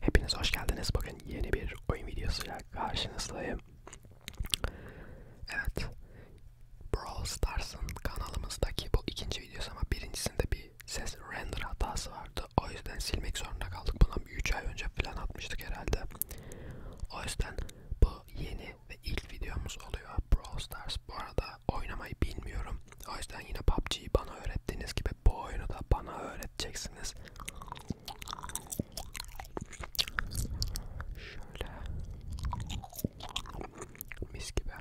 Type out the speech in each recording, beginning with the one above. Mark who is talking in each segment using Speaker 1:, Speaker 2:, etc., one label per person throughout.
Speaker 1: Hepiniz hoş geldiniz. Bugün yeni bir oyun videosuyla karşınızdayım. Evet. Brawl Stars'ın kanalımızdaki bu ikinci videosu ama birincisinde bir ses render hatası vardı. O yüzden silmek zorunda kaldık. Buna 3 ay önce falan atmıştık herhalde. O yüzden bu yeni ve ilk videomuz oluyor. Brawl Stars. Bu arada oynamayı bilmiyorum. O yüzden yine PUBG'yi bana öğrettiğiniz gibi bu oyunu da bana öğretin edeceksiniz. Şöyle mis gibi.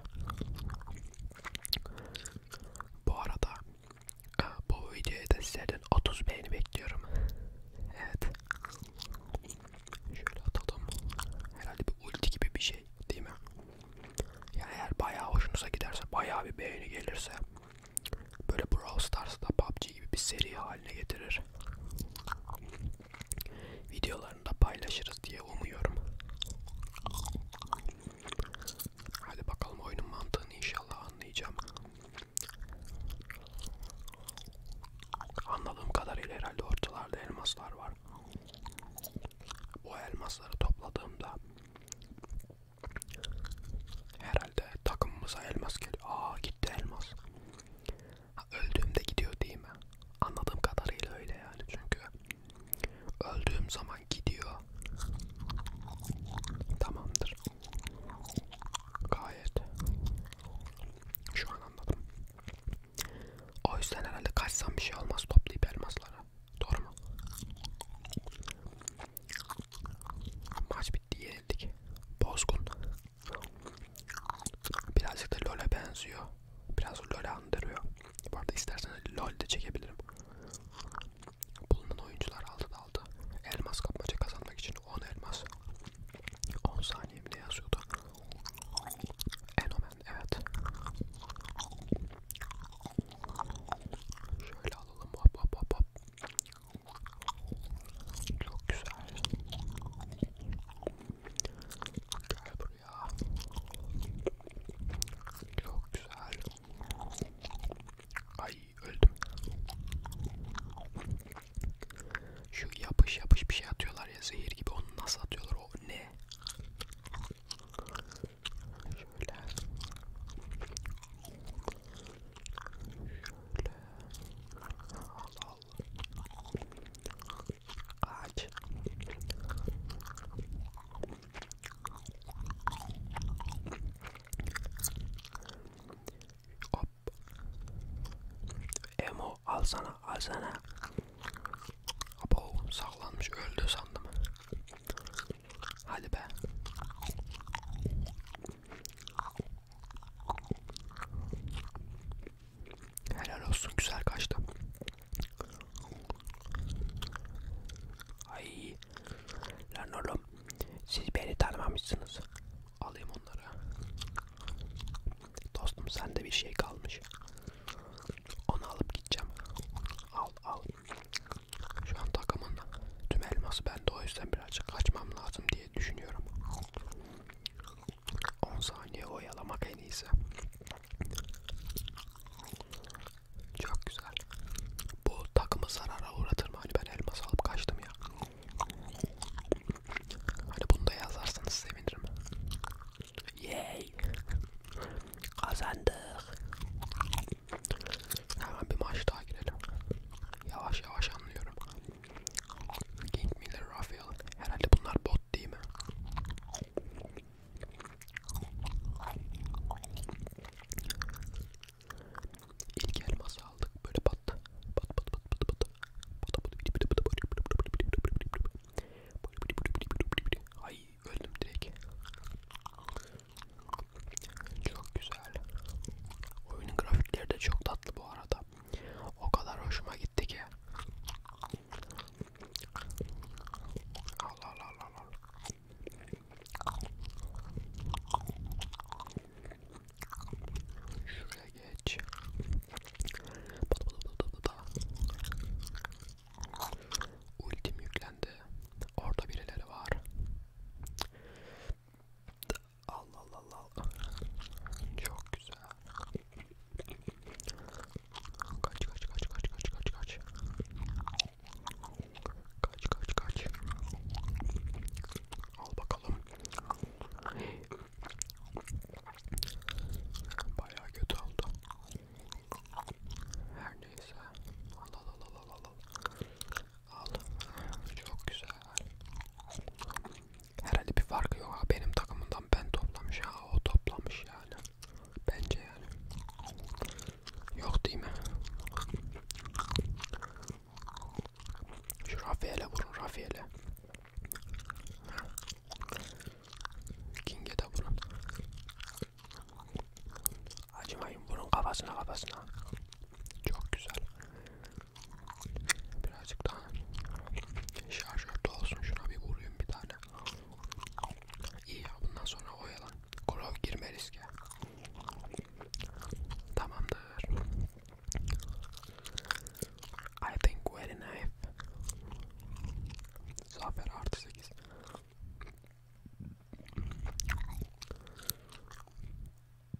Speaker 1: Bu arada e, bu videoya da sizlerden 30 beğeni bekliyorum. Evet. Şöyle atalım. Herhalde bir ulti gibi bir şey değil mi? Yani eğer bayağı hoşunuza giderse, bayağı bir beğeni gelirse böyle Brawl Stars'da PUBG gibi bir seri haline getirir. Videolarını da paylaşırız diye umuyorum. Hadi bakalım oyunun mantığını inşallah anlayacağım. Anladığım kadarıyla herhalde ortalarda elmaslar var. Bu elmasları topladığımda Herhalde takımımıza elmas geliyor. Aa gitti elmas. Ha, öldüğümde gidiyor değil mi? Anladığım kadarıyla öyle yani çünkü öldüğüm zaman gidiyor. Tamamdır. Gayet. Şu an anladım. O yüzden herhalde kaçsam bir şey olmaz toplayıp elmaslara. Doğru mu? Maç bitti yenildik. Bozgun. Birazcık da LoL'a benziyor. Biraz LoL'a andırıyor. Bu arada isterseniz LoL de çekebilirim. Bulunan oyuncular aldı da aldı. Elmas kapmaca kazanmak için 10 elmas. 10 saniye mi ne yazıyordu? Enomen evet. Şöyle alalım hop hop hop hop. Çok güzel. Gel buraya. Çok güzel. Ay öldüm. Şu yapış yapış bir şey atıyorlar ya zehir gibi onu nasıl atıyorlar o ne? Şöyle. Şöyle. Al al. Aç. Hop. Emo alsana alsana. Abo saklanmış öldü sandım. Hadi be. Helal olsun güzel kaçtı. Ay. Lan oğlum. Siz beni tanımamışsınız. Alayım onları. Dostum sende bir şey kalmış. Onu alıp gideceğim. Al al. Şu an takımın tüm elması bende o yüzden birazcık kaçmam lazım diye düşünüyorum. 10 saniye oyalamak en iyisi. Çok güzel. Bu takımı zarara uğratır mı? Hani ben elmas alıp kaçtım ya. Hani bunu da yazarsanız sevinirim. Yay! Kazandık. Hemen bir maç daha girelim. Yavaş yavaş anlıyorum. King Miller, Rafael. Herhalde bunlar bot değil mi? İlk elması aldık. Böyle battı. Bat bat bat bat bat. Ay öldüm direkt. Çok güzel. Oyunun grafikleri de çok tatlı bu arada. O kadar hoşuma gitti ki. Allah Allah Allah Allah. Şuraya geç. Ultim yüklendi. Orada birileri var. Allah Allah Allah. Çok güzel. Kaç kaç kaç kaç kaç kaç kaç. Kaç kaç kaç. Al bakalım. Bayağı kötü oldu. Her neyse. Allah Allah Allah Allah. Al. Çok güzel. Herhalde bir farkı yok ha. Benim takımından ben toplamış ha. O toplamış yani. Bence yani. Yok değil mi? Şu Rafael'e vurun Rafael'e. King'e de vurun. Acımayın vurun kafasına kafasına. Çok güzel. Birazcık daha şarjörde olsun. Şuna bir vurayım bir tane. İyi ya bundan sonra oyalan. Kurov girme riske. Tamamdır. I think we're enough. Zafer artı 8.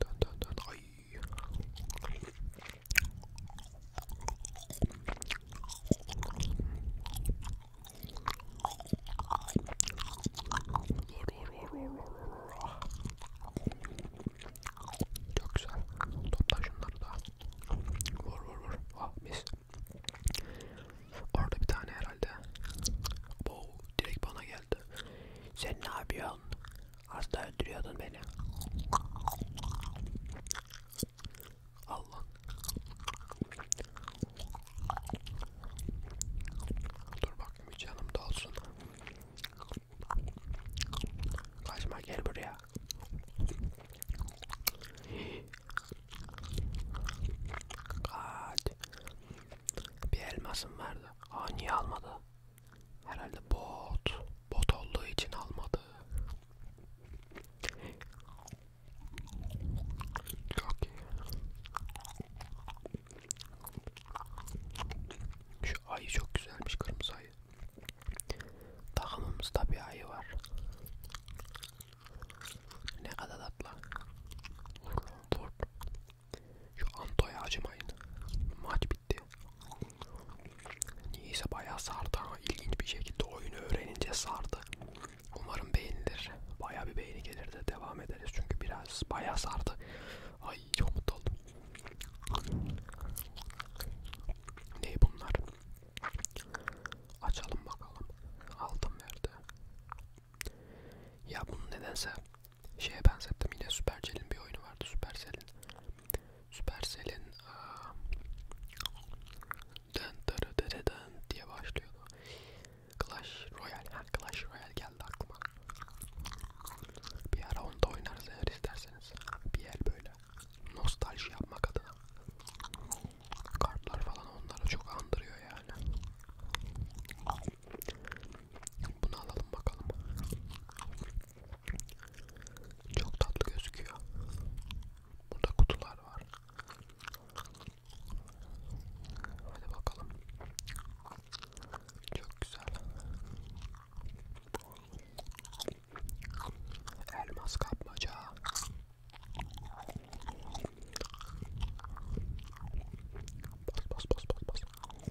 Speaker 1: Dön dön dön. Ay. Çok güzel. Topla şunları da. Vur vur vur. Ah mis. Orada bir tane herhalde. Bo direkt bana geldi bayıldı. Sen ne yapıyorsun? Hasta öldürüyordun beni. Allah. Dur bakayım canım dolsun. Kaçma gel buraya. Kaç. Bir elmasım vardı. Aa niye almadı? Herhalde bot. Bot olduğu için almadı. Çok iyi. Şu ayı çok güzelmiş kırmızı ayı. Takımımızda bir ayı var. Ne kadar tatlı. Vur vur. Şu Anto'ya acımayın. Maç bitti. Niyeyse bayağı sardı ama ilginç bir şekilde oyunu öğrenince sardı. Umarım beğenilir. Bayağı bir beğeni gelir de devam ederiz. Çünkü biraz bayağı sardı. Ay çok mutlu oldum. Ne bunlar? Açalım bakalım. Aldım verdi. Ya bunu nedense şeye benzettim yine Supercell'in bir oyunu vardı Supercell'in Supercell'in uh, dın dırı dırı dın diye başlıyordu Clash Royale ha Clash Royale geldi aklıma bir ara onu da oynarız eğer isterseniz bir yer böyle nostalji yapmak adına kartlar falan onları çok andırıyor yani bunu alalım bakalım. Çok tatlı gözüküyor. Burada kutular var. Hadi bakalım. Çok güzel. Elmas kapmaca. Bas bas bas bas bas.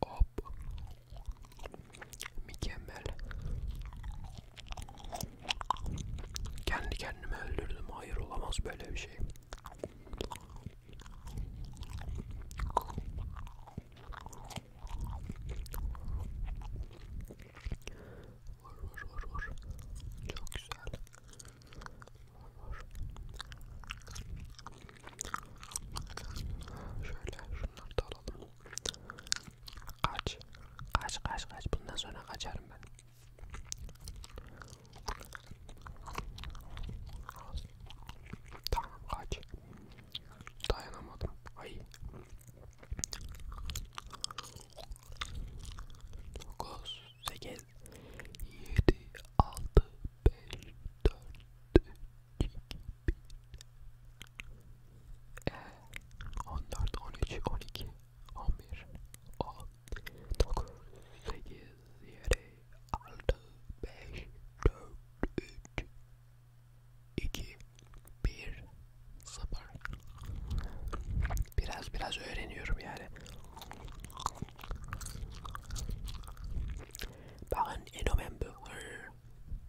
Speaker 1: Hop. Mükemmel. Kendi kendimi öldürdüm. Hayır olamaz böyle bir şey. Vur vur vur vur. Çok güzel. Vur vur. Şöyle şunları da alalım. Kaç. Kaç kaç kaç. Bundan sonra kaçarım ben. Tamam kaç. Dayanamadım. Ay. Dokuz, sekiz, yedi, altı, beş, dört, üç, Biraz biraz öğreniyorum yani. Bakın inomem bu.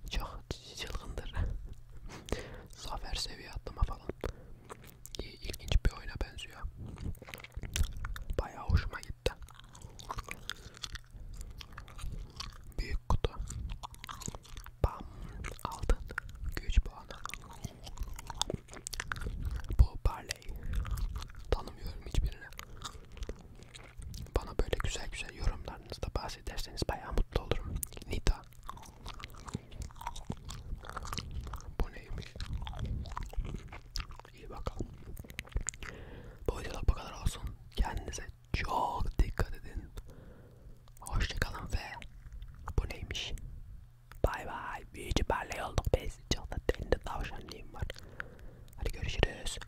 Speaker 1: Çok çılgındır. Zafer seviye atlama falan. İlginç bir oyuna benziyor. Bayağı hoşuma gitti. Büyük kutu. Bam. Aldın. Güç puanı. Bu parlay. Tanımıyorum hiçbirini. Bana böyle güzel güzel yorumlarınızda bahsederseniz bayağı mutlu olurum. Nida. Bu neymiş? İyi bakalım. Bu videoluk bu kadar olsun. Kendinize çok dikkat edin. Hoşçakalın ve bu neymiş? Bay bay. Büyücü parlay olduk biz. Çok da deli tavşanlığım var. Hadi görüşürüz.